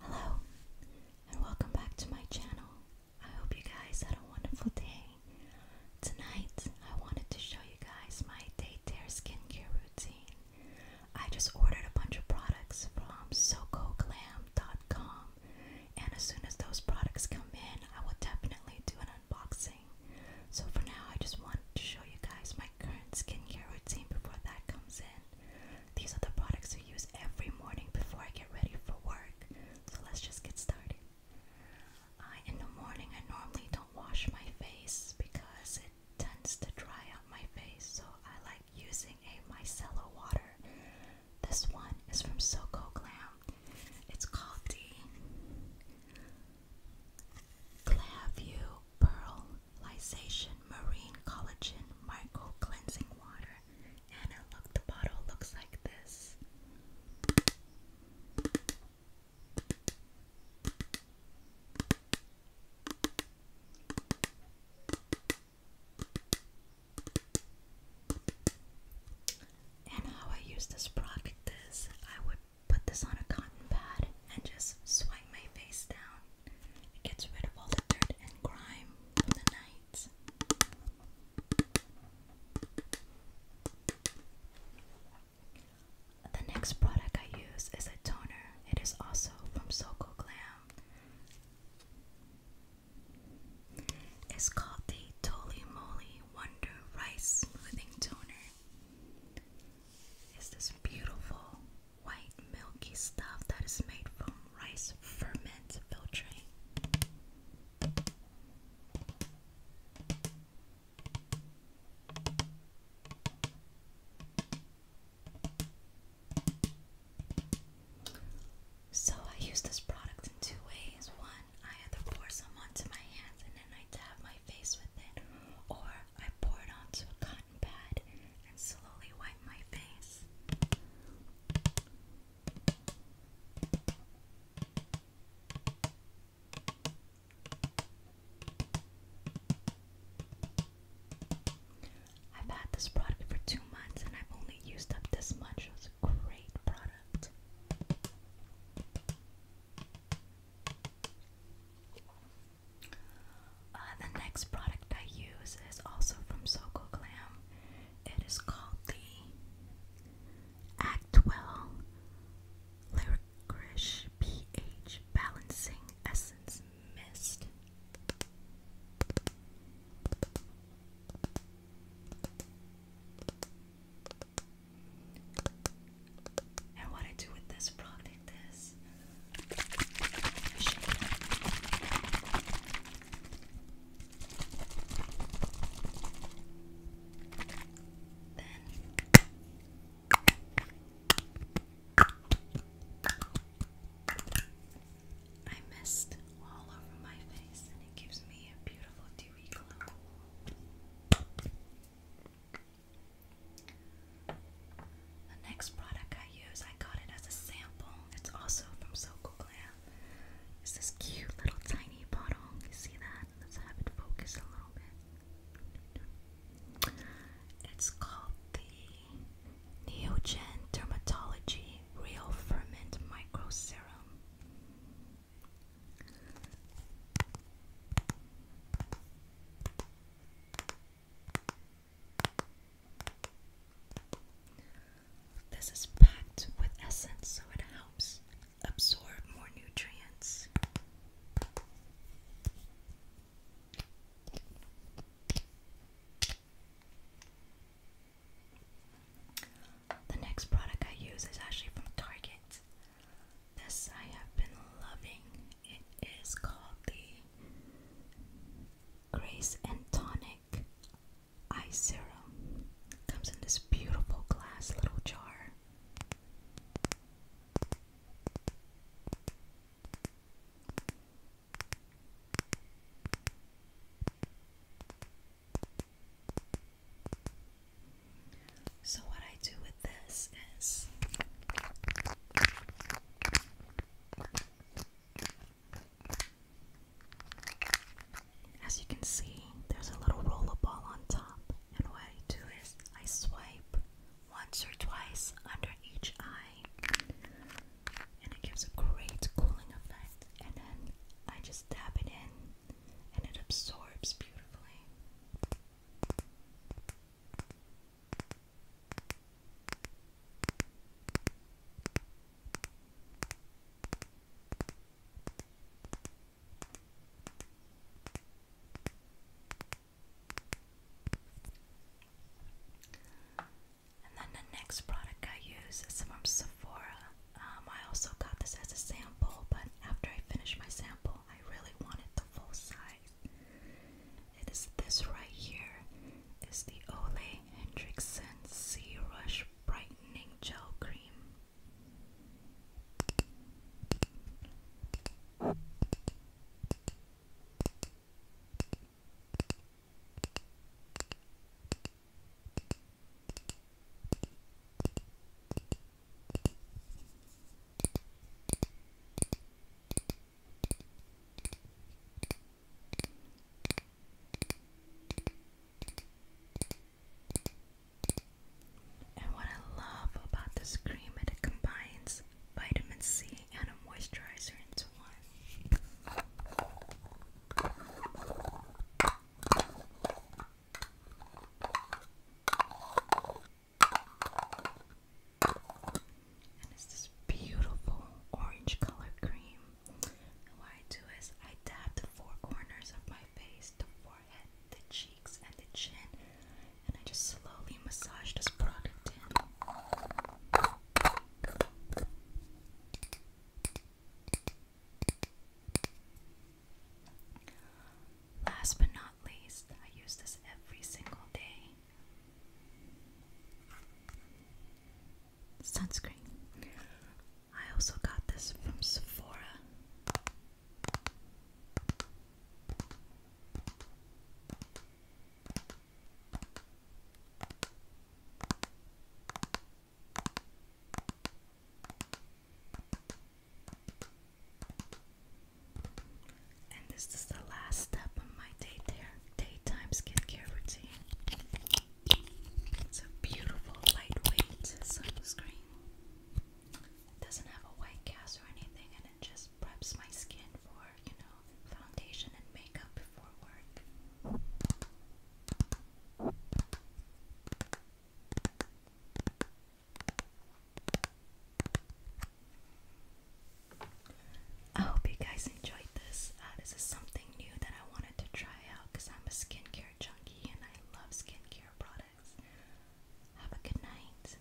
Hello, and welcome back to my channel. I hope you guys had a wonderful day. Tonight, I wanted to show you guys my daycare skincare routine. I just ordered a bunch of products from SocoGlam.com, and as soon as those products come in, I will definitely do an unboxing. So for now, I just wanted to show you guys my current skincare routine before that comes in. These are the products I use every morning before I get ready for work. So let's just get started. in the morning, I normally don't wash my face because it tends to dry out my face. So I like using a micellar water. This one is from Soco Glam. It's called the Glavue Pearl Lysation Marine Collagen Micro Cleansing Water. And look, the bottle looks like this. And how I use this product is I would put this on a cotton pad and just swipe my face down. It gets rid of all the dirt and grime from the night. The next product I use is a toner. It is also from Soko Glam. It's called the Toli Moly Wonder Rice Living Toner. It's this beautiful white milky stuff that is made from rice ferment filtering. So I use this product in two ways. One, I either pour some onto my hands and then I dab my face with it, or I pour it onto a cotton pad and slowly wipe my face. I've had this product for two months and I've only used up this much. It a great product. Uh, the next product I use is also from Soko Glam. It is called the Actwell Licorice pH Balancing Essence Mist. And what I do with this product is I Then I mist all over my face and it gives me a beautiful the next product I use, I got it as a sample. It's also from SoCal Glam. It's this cute little tiny bottle. You see that? Let's have it focus a little bit. It's called the Neogen Dermatology Real Ferment Micro Serum. This is packed with essence, so it helps absorb more nutrients. The next product I use is actually from Target. This I have been loving. It is called the Grace and Tonic Eye Serum. Comes in this beautiful glass little jar. So, what I do with this is as you can see, there's a little roller ball on top, and what I do is I swipe once or twice under each eye and it gives a great cooling effect. And then I just tap it in, and it absorbs beautifully. And then the next product I use is from Sephora. Um, I also got this as a sample, but after I finished my sample, I really wanted the full size. It is this right here. It's the Ole Hendrickson Sea Rush Brightening Gel Cream. And what I love about this cream, it combines vitamin C and a moisturizer into this And it's this beautiful orange colored cream. And what I do is I dab the four corners of my face, the forehead, the cheeks, and the chin, and I just slowly massage this product in. Last but not least, I use this every single day. Sunscreen. I also got this from Sephora. And this is the last step of my day daytime skincare routine. It's a beautiful lightweight sunscreen. It doesn't have a white cast or anything and it just preps my skin for you know, foundation and makeup before work. I hope you guys enjoyed this. Uh, something new that I wanted to try out because I'm a skincare junkie and I love skincare products. Have a good night.